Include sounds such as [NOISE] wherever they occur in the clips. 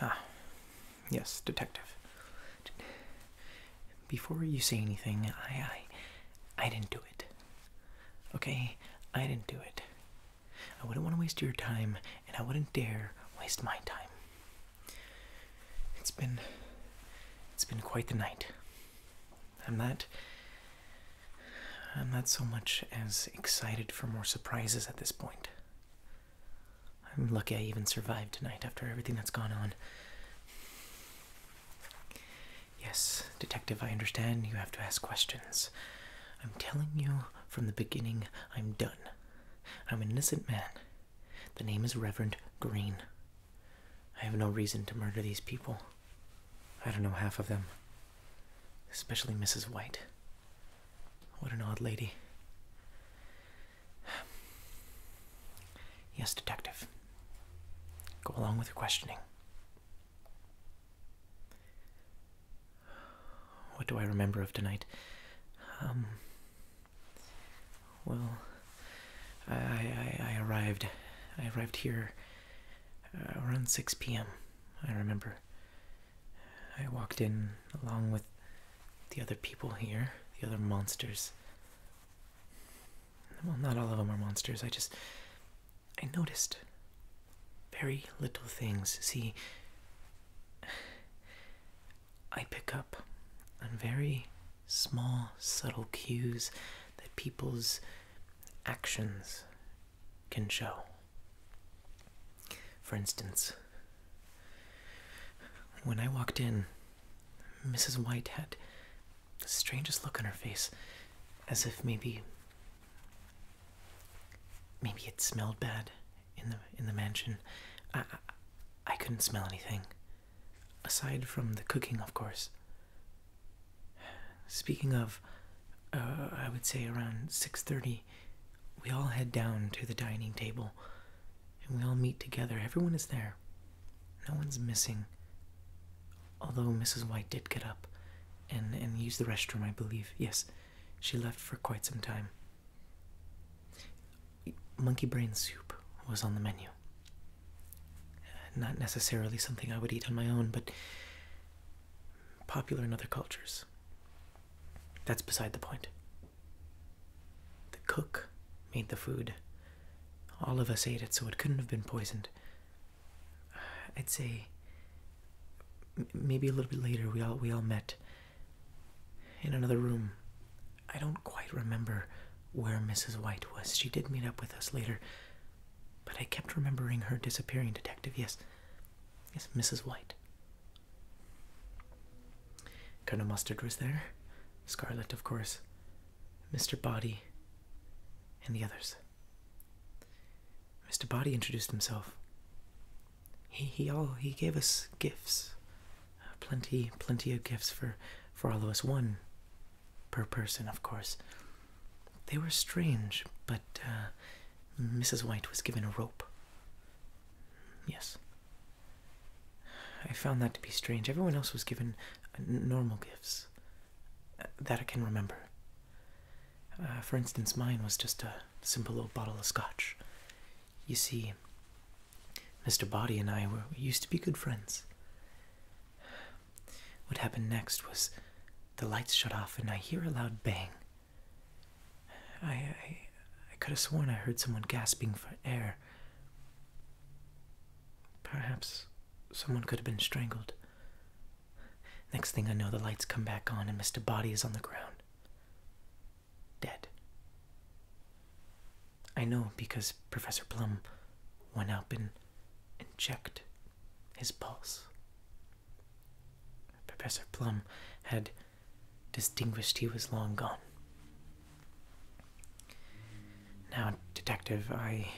Ah, yes, detective. Before you say anything, I, I, I didn't do it. Okay, I didn't do it. I wouldn't want to waste your time, and I wouldn't dare waste my time. It's been it's been quite the night. I'm not I'm not so much as excited for more surprises at this point. I'm lucky I even survived tonight after everything that's gone on. Yes, Detective, I understand you have to ask questions. I'm telling you from the beginning, I'm done. I'm an innocent man. The name is Reverend Green. I have no reason to murder these people. I don't know half of them. Especially Mrs. White. What an odd lady. Yes, Detective. Go along with your questioning. What do I remember of tonight? Um, well, I, I, arrived. I arrived here uh, around 6 p.m., I remember. I walked in along with the other people here, the other monsters. Well, not all of them are monsters. I just. I noticed very little things. See, I pick up on very small, subtle cues that people's actions can show. For instance, when I walked in, Mrs. White had the strangest look on her face, as if maybe. Maybe it smelled bad in the in the mansion, I, I couldn't smell anything, aside from the cooking, of course. Speaking of, uh, I would say around six thirty, we all head down to the dining table, and we all meet together. Everyone is there. No one's missing. Although Mrs. White did get up and and use the restroom, I believe. Yes, she left for quite some time. Monkey brain soup was on the menu. Not necessarily something I would eat on my own, but popular in other cultures. That's beside the point. The cook made the food. All of us ate it, so it couldn't have been poisoned. I'd say maybe a little bit later we all we all met in another room. I don't quite remember where Mrs. White was. She did meet up with us later, but I kept remembering her disappearing, Detective. Yes, yes, Mrs. White. Colonel Mustard was there, Scarlet, of course, Mr. Body, and the others. Mr. Body introduced himself he he all he gave us gifts, uh, plenty plenty of gifts for for all of us. One per person, of course. They were strange, but uh, Mrs. White was given a rope. Yes. I found that to be strange. Everyone else was given uh, normal gifts. Uh, that I can remember. for instance, mine was just a simple old bottle of scotch. You see, Mr. Body and I were used to be good friends. What happened next was the lights shut off and I hear a loud bang. I, I could have sworn I heard someone gasping for air. Perhaps someone could have been strangled. Next thing I know, the lights come back on and Mr. Body is on the ground. Dead. I know because Professor Plum went up and, and checked his pulse. Professor Plum had distinguished he was long gone. Now, Detective, I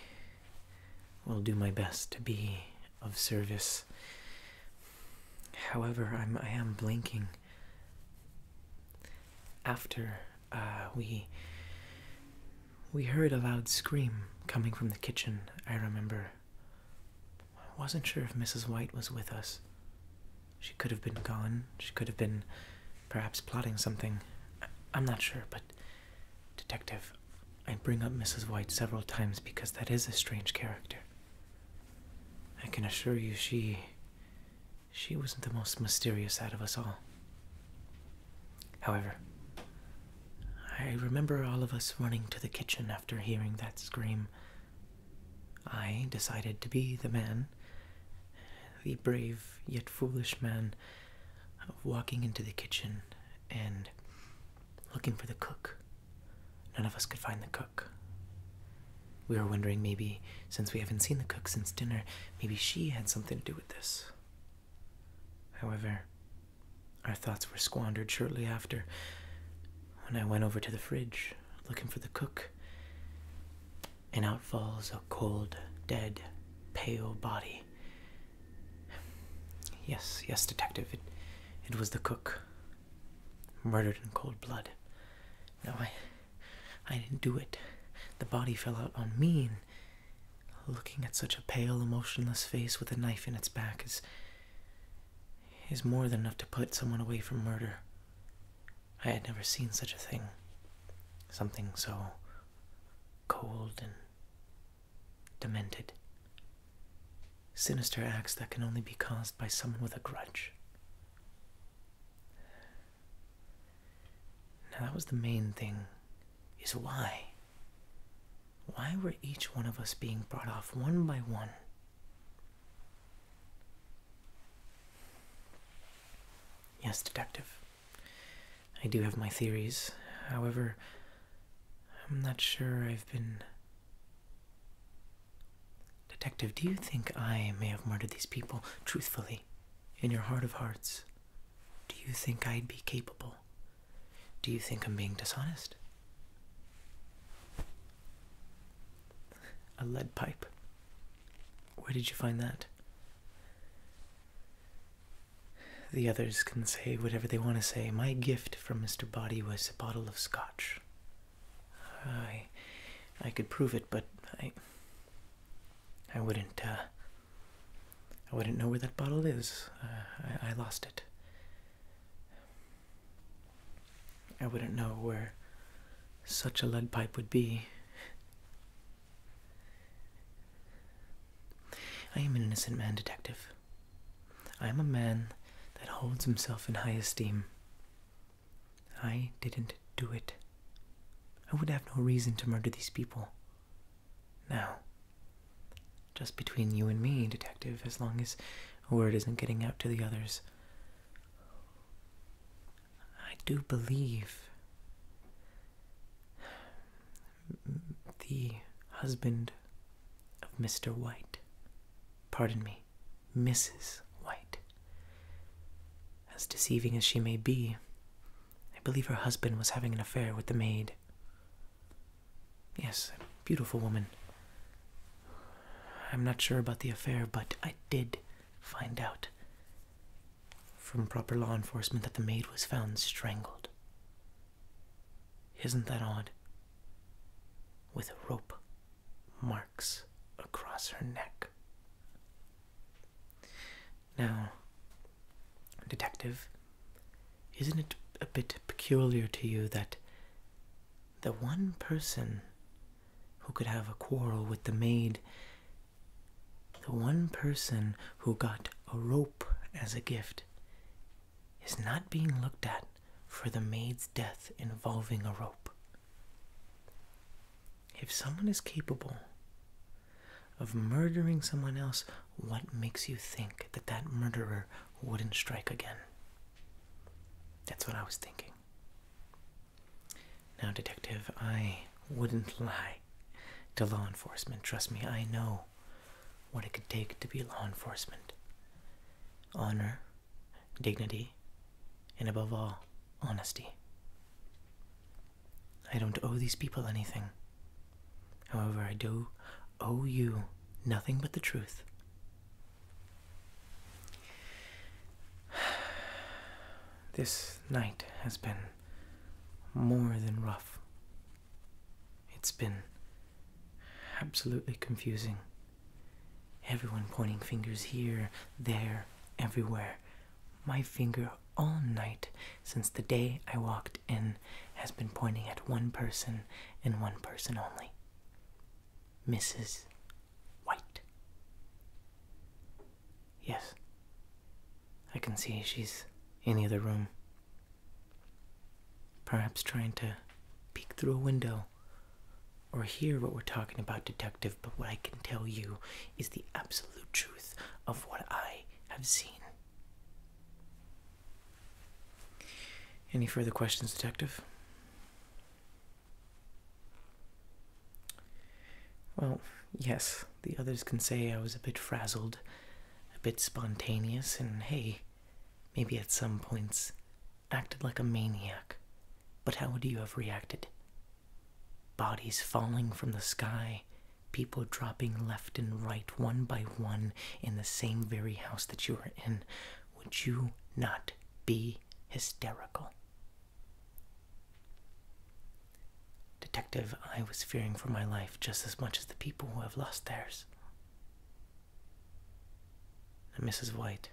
will do my best to be of service. However, I'm I am blinking. After uh, we we heard a loud scream coming from the kitchen. I remember. I wasn't sure if Mrs. White was with us. She could have been gone. She could have been, perhaps, plotting something. I'm not sure, but, Detective, I bring up Mrs. White several times because that is a strange character. I can assure you she. she wasn't the most mysterious out of us all. However, I remember all of us running to the kitchen after hearing that scream. I decided to be the man, the brave yet foolish man, of walking into the kitchen and looking for the cook. None of us could find the cook. We were wondering maybe, since we haven't seen the cook since dinner, maybe she had something to do with this. However, our thoughts were squandered shortly after when I went over to the fridge looking for the cook, and out falls a cold, dead, pale body. Yes, yes, detective. It, it was the cook. Murdered in cold blood. No, I, I didn't do it. The body fell out on me. And looking at such a pale, emotionless face with a knife in its back is, is more than enough to put someone away from murder. I had never seen such a thing. Something so cold and demented. Sinister acts that can only be caused by someone with a grudge. Now, that was the main thing is why? Why were each one of us being brought off one by one? Yes, detective. I do have my theories. However, I'm not sure I've been. Detective, do you think I may have murdered these people truthfully, in your heart of hearts? Do you think I'd be capable? Do you think I'm being dishonest? A lead pipe. Where did you find that? The others can say whatever they want to say. My gift from Mr. Body was a bottle of scotch. I, I could prove it, but I, I wouldn't. Uh, I wouldn't know where that bottle is. Uh, I, I lost it. I wouldn't know where such a lead pipe would be. I am an innocent man, detective. I am a man that holds himself in high esteem. I didn't do it. I would have no reason to murder these people. Now, just between you and me, detective, as long as a word isn't getting out to the others, I do believe the husband of Mr. White, pardon me, Mrs. White. As deceiving as she may be, I believe her husband was having an affair with the maid. Yes, a beautiful woman. I'm not sure about the affair, but I did find out from proper law enforcement that the maid was found strangled. Isn't that odd? With rope marks across her neck. Now, detective, isn't it a bit peculiar to you that the one person who could have a quarrel with the maid, the one person who got a rope as a gift, is not being looked at for the maid's death involving a rope. If someone is capable of murdering someone else, what makes you think that that murderer wouldn't strike again? That's what I was thinking. Now, Detective, I wouldn't lie to law enforcement. Trust me, I know what it could take to be law enforcement honor, dignity, and above all, honesty. I don't owe these people anything. However, I do owe you nothing but the truth. [SIGHS] [SIGHS] This night has been more than rough. It's been absolutely confusing. Everyone pointing fingers here, there, everywhere. My finger all night since the day I walked in has been pointing at one person and one person only Mrs white. Yes. I can see she's in the other room. Perhaps trying to peek through a window or hear what we're talking about, Detective, but what I can tell you is the absolute truth of what I have seen. Any further questions, Detective? Well, yes, the others can say I was a bit frazzled, a bit spontaneous, and hey, maybe at some points acted like a maniac. But how would you have reacted? Bodies falling from the sky, people dropping left and right, one by one, in the same very house that you were in would you not be hysterical? Detective, I was fearing for my life just as much as the people who have lost theirs. And Mrs. White,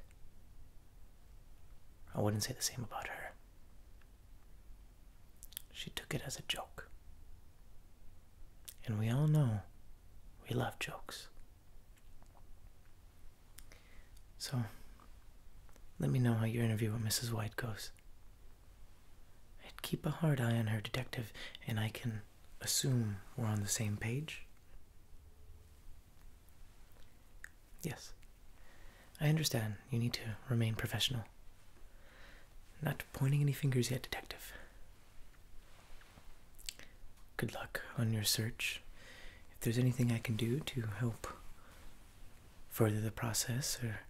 I wouldn't say the same about her. She took it as a joke. And we all know we love jokes. So, let me know how your interview with Mrs. White goes. I'd keep a hard eye on her, Detective, and I can assume we're on the same page. Yes, I understand you need to remain professional. Not pointing any fingers yet, Detective. Good luck on your search. If there's anything I can do to help further the process or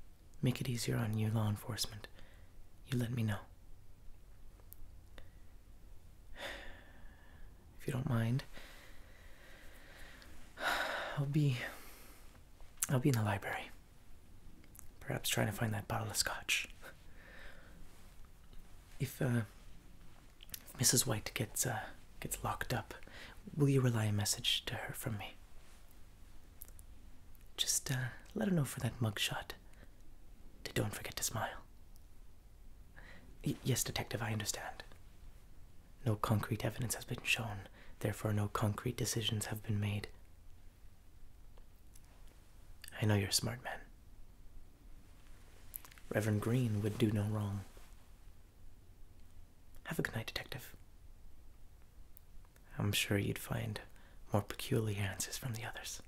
make it easier on you, law enforcement, you let me know. [SIGHS] If you don't mind, [SIGHS] I'll be I'll be in the library. Perhaps trying to find that bottle of scotch if, uh, Mrs. White gets uh, gets locked up, will you relay a message to her from me? Just uh, let her know for that mugshot to don't forget to smile. yes, Detective, I understand. No concrete evidence has been shown, therefore, no concrete decisions have been made. I know you're a smart man. Reverend Green would do no wrong. Have a good night, Detective. I'm sure you'd find more peculiar answers from the others.